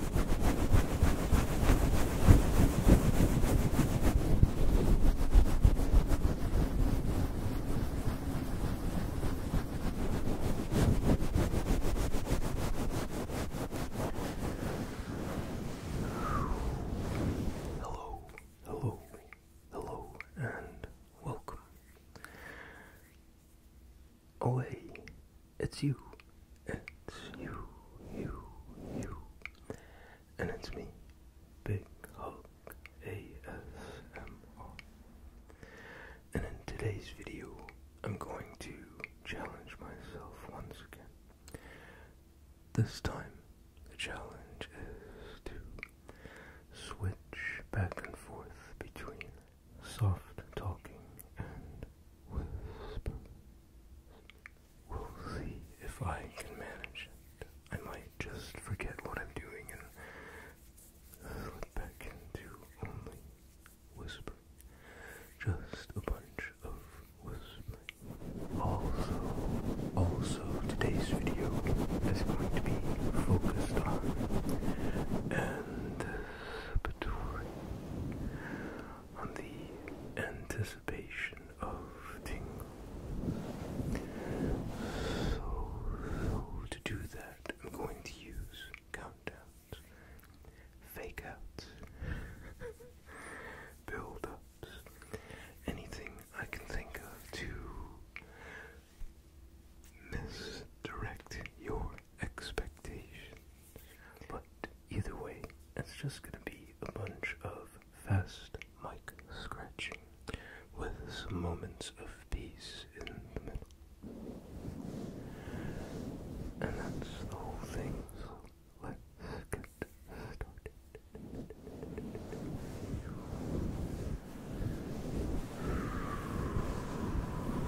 Hello, hello, hello, and welcome away. It's you. It's you, you, you. And it's me, Big Hulk ASMR. And in today's video, I'm going to challenge myself once again. This time, the challenge is to switch back and forth between soft talking and whispers. We'll see if I can manage it. I might just forget what I'm doing and slip back into only whisper. Just a bunch of whispering. Also, also today's video is going to be focused on and on the anticipation of tingle. So, to do that, I'm going to use countdowns, fake outs, anything I can think of to misdirect your expectations. But either way, it's just gonna be a bunch of fast mic scratching with some moments of peace in the middle. And that's the whole thing, so let's get started.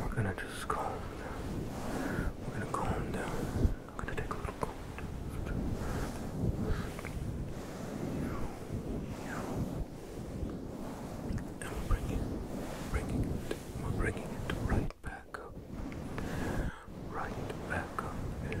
We're gonna just go. down. We're gonna go down. I'm gonna take a little calm And we're bringing, bringing it, we're bringing it right back up. Right back up in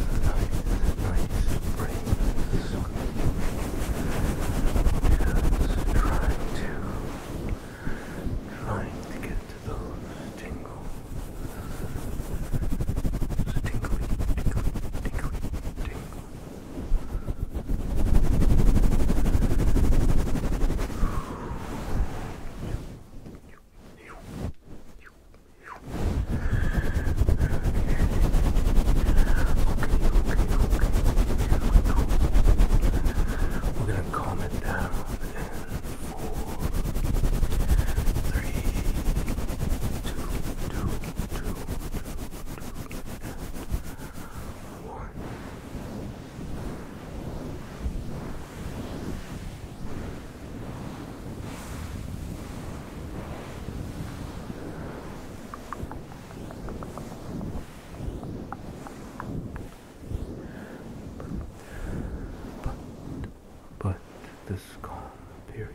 Just trying to, trying to get to those tingles. Just tingly, tingly, tingly, tingle. you, we're going to calm it down in four, three, two, two, two, two, two, and one. Good. But, but this calm period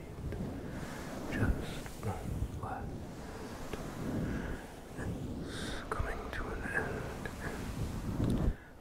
just won't last. It's coming to an end.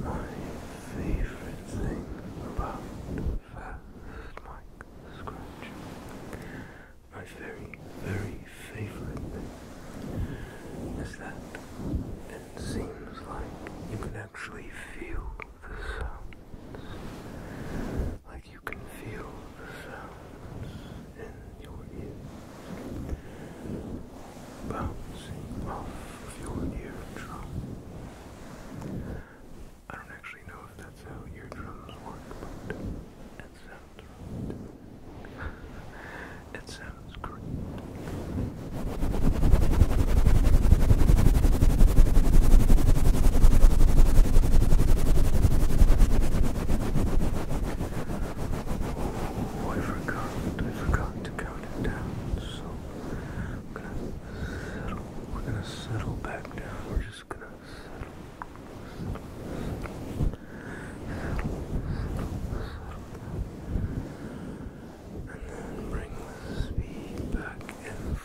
My favorite thing about fast mic scratch, my very, very favorite is that it seems like you can actually feel the sounds you can feel the sounds in your ears bouncing off of your eardrum. I don't actually know if that's how eardrums work, but it sounds great. Oh, I forgot, I forgot to count it down, so I'm gonna settle, we're gonna settle back down, we're just gonna settle, settle, settle, settle, settle, settle down. And then bring the speed back in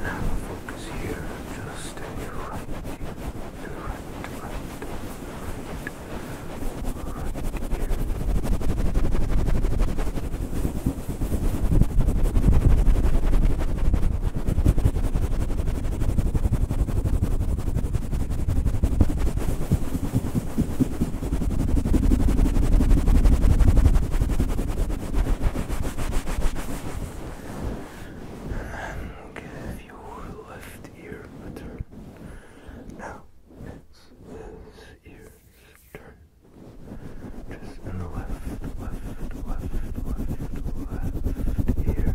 Now focus here, just to your right, to your right right, right And give your left ear a turn. Now it's his ear's turn. Just in the left, left, left, left, left ear. Now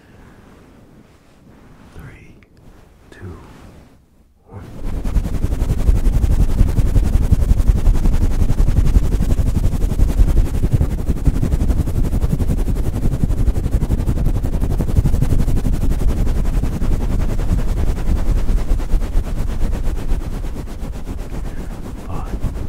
Three, two, one. Five,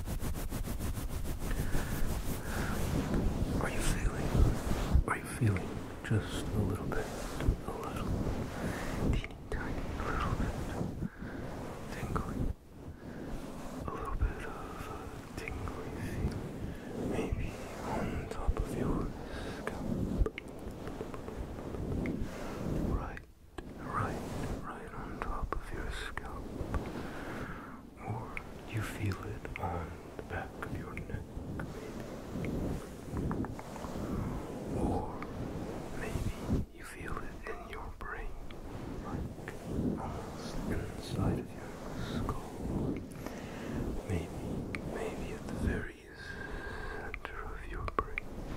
Are you feeling? Are you feeling just a little bit, a little, teeny tiny little bit tingly? A little bit of a tingly maybe on top of your right right, right on top of your scalp, or you feel it on the back of your neck, maybe, or maybe you feel it in your brain, like almost inside of your skull. Maybe, maybe at the very center of your brain.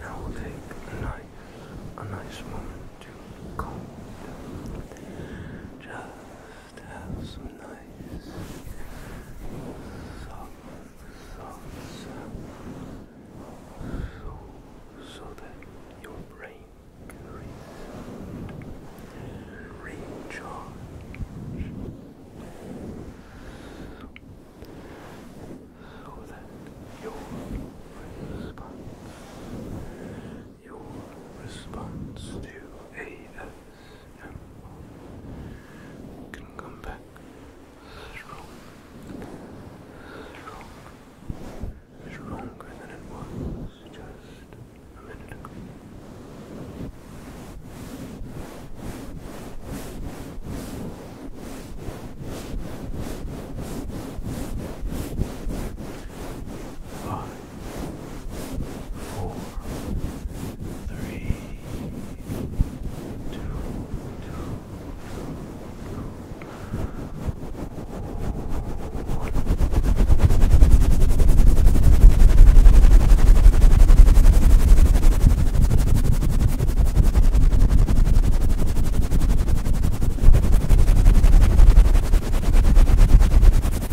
Now we'll take a nice, a nice moment to calm down. Just have some nice soft, soft sound so, that your brain can reset, recharge, so, that your response your response to ASMR can come back strong, strong, stronger than it was just a minute ago. I four, three, two, two, one.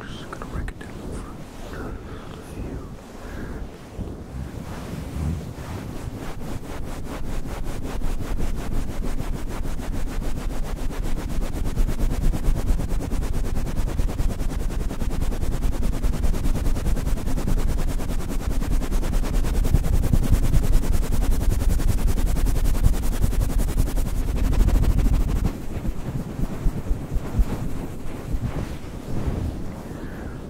I'm just gonna break it down for you.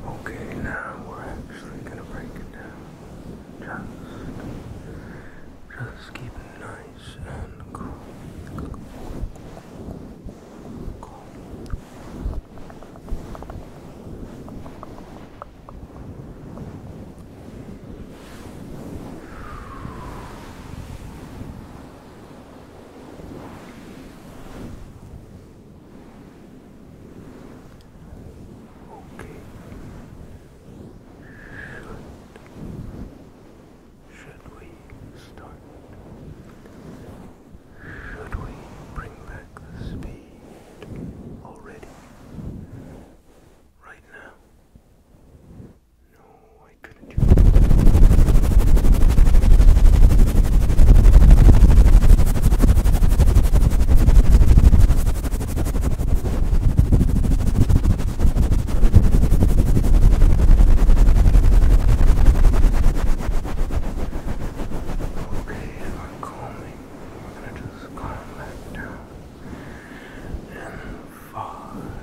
Okay, now we're actually gonna break it down. Just, just keep it nice and cool. cool. Okay. Should, should we start? Should we bring back the speed already? Right now? No, I couldn't do it. Okay, I'm calming. We're gonna just calm down and fall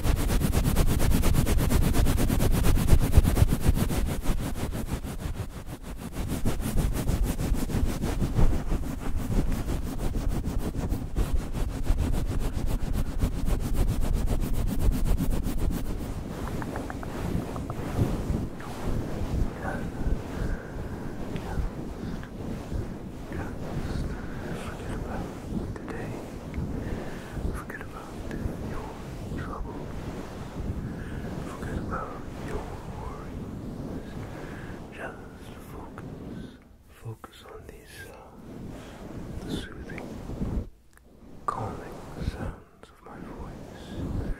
Just forget about today. Forget about Forget your troubles. Forget about your worries. Just focus. Uh, focus on these uh, soothing, calming sounds of my voice.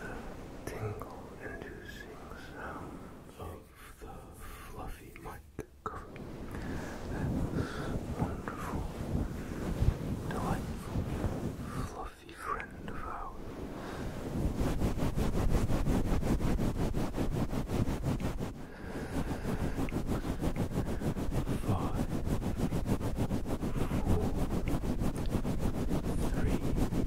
The tingle inducing sounds of the fluffy mic wonderful, delightful, fluffy friend of ours. Five, four, three, two.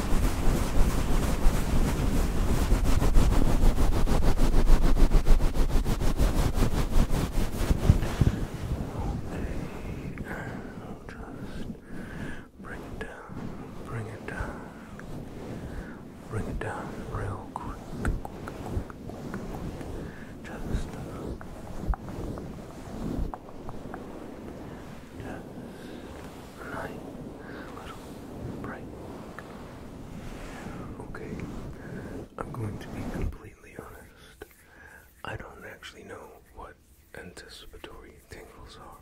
I'll just bring it down, bring it down, bring it down real quick, just. Just Okay, I'm going to be completely honest. I don't actually know what anticipatory tingles are.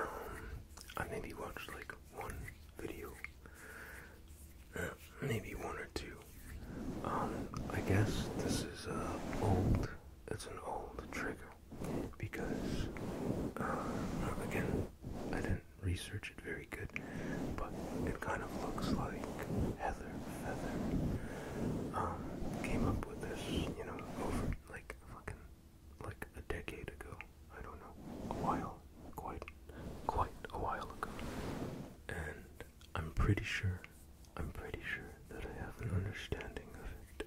Um, I maybe watched like one video, uh, maybe one or two. Um, I guess this is uh old. It's an old trigger because uh, again, I didn't research it very good, but it kind of looks like Heather Feather um, came up with this, you know, over like fucking like a decade ago. I don't know, a while, quite, quite a while ago, and I'm pretty sure. I'm pretty sure that I have an understanding of it,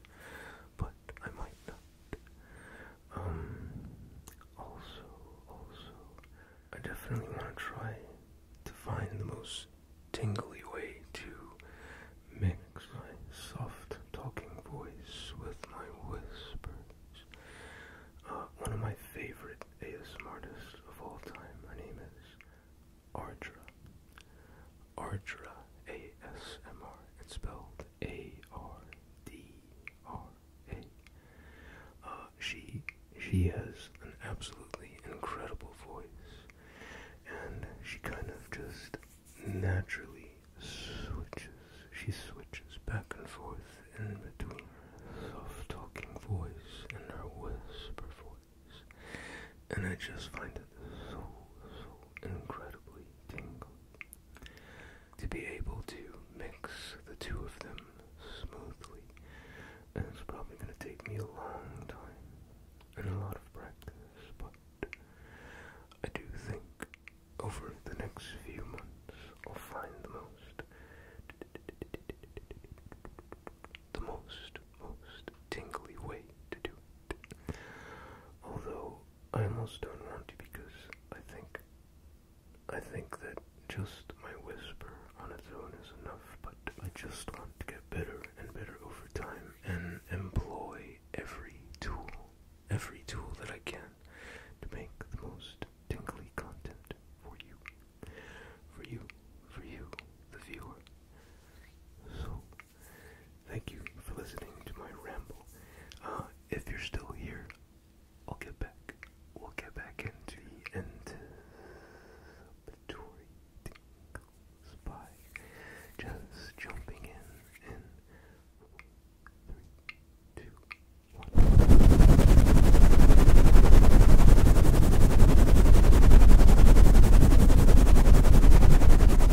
but I might not. Um, also, also, I definitely want to try to find the most tingly way to mix my soft talking voice with my whispers. Uh, one of my favorite ASM artists of all time, My name is Ardra. Ardra ASMR. It's spelled a R D R A. Uh, she she has an absolutely incredible voice, and she kind of just naturally switches. She switches back and forth in between her soft talking voice and her whisper voice, and I just find it so incredibly to be able to mix the two of them smoothly, and it's probably going to take me a long time and a lot of practice, but I do think over the next few months I'll find the most, the most, most tingly way to do it. Although I almost don't want to because I think I think that just my whisper on its own is enough, but I just want to get better and better over time and employ every tool, every tool that I can to make the most tingly content for you, for you, for you, the viewer. So Thank you for listening to my ramble. Uh, if you're still here, I'll get back. We'll get back into the anticipatory tingles by just jumping in and three, two, one.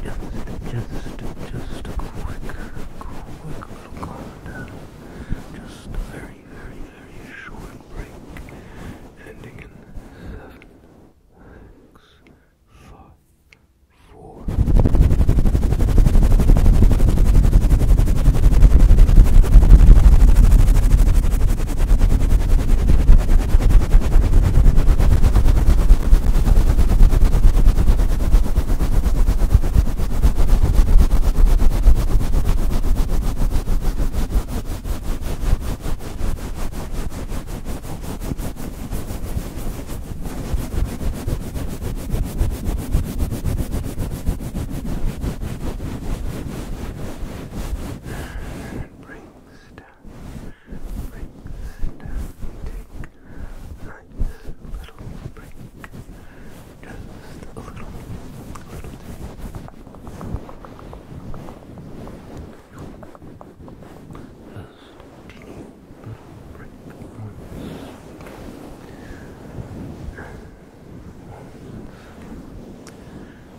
Just, just, just a quick, quick little calm Just a very, very, very short break. Ending in seven, six, five, four. And brings down and take a little break. Just a little, Just a little break once. Once.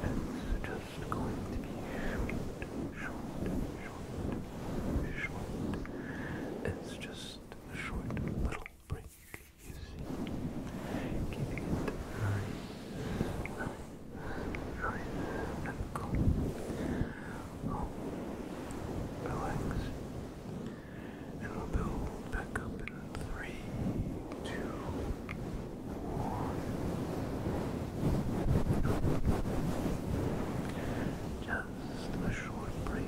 Let's just just going to be short, short, short, It's just a short little break, you see. Keeping it nice, and calm. Oh, relax. And we'll build back up in three, two, just a short break,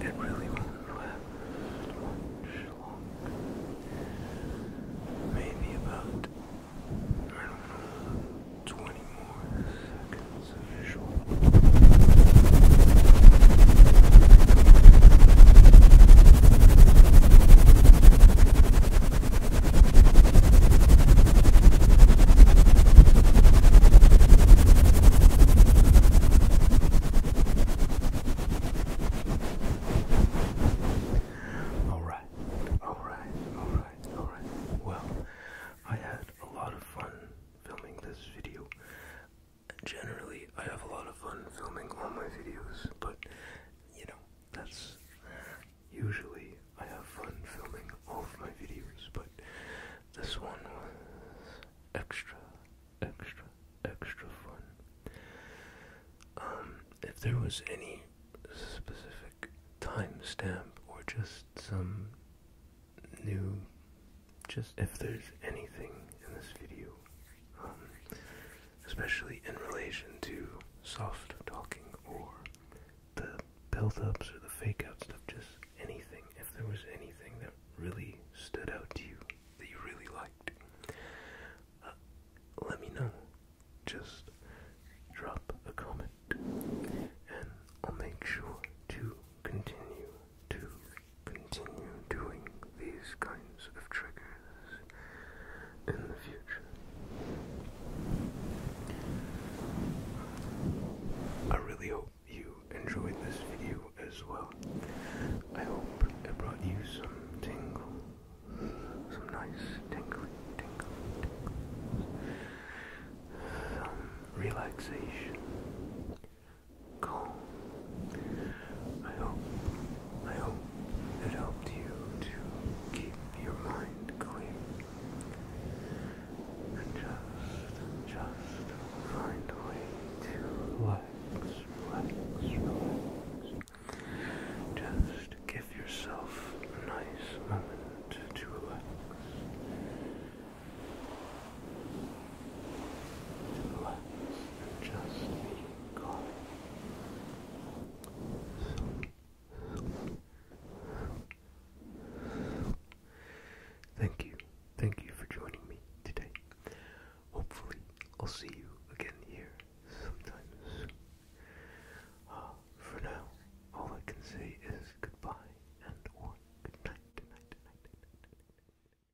It really wasn't that much long. Maybe about, I don't know, 20 more seconds of visual. All right, all right, all right, all right. Well, I had a lot of fun filming this video generally I have a lot of fun filming all my videos, but you know, that's usually I have fun filming all of my videos, but this one was extra, extra, extra fun. Um, if there was any specific timestamp or just some new, just if there's anything in this video, um, especially in relation to soft talking or the build-ups or the fake out stuff, just anything. If there was anything that really stood out to you, that you really liked, uh, let me know. Just drop a comment, and I'll make sure to continue to continue doing these kinds of triggers in the future. I really hope you enjoyed this video as well. I hope it brought you some tingle, some nice tingling, tingling, some relaxation, calm. I hope, I hope it helped you to keep your mind clear and just, just find a way to relax, relax, relax. Just give yourself a nice moment to relax relax, just be calm. Thank you, thank you for joining me today. Hopefully, I'll see you again here sometime soon. Uh, for now, all I can say is goodbye and Good night.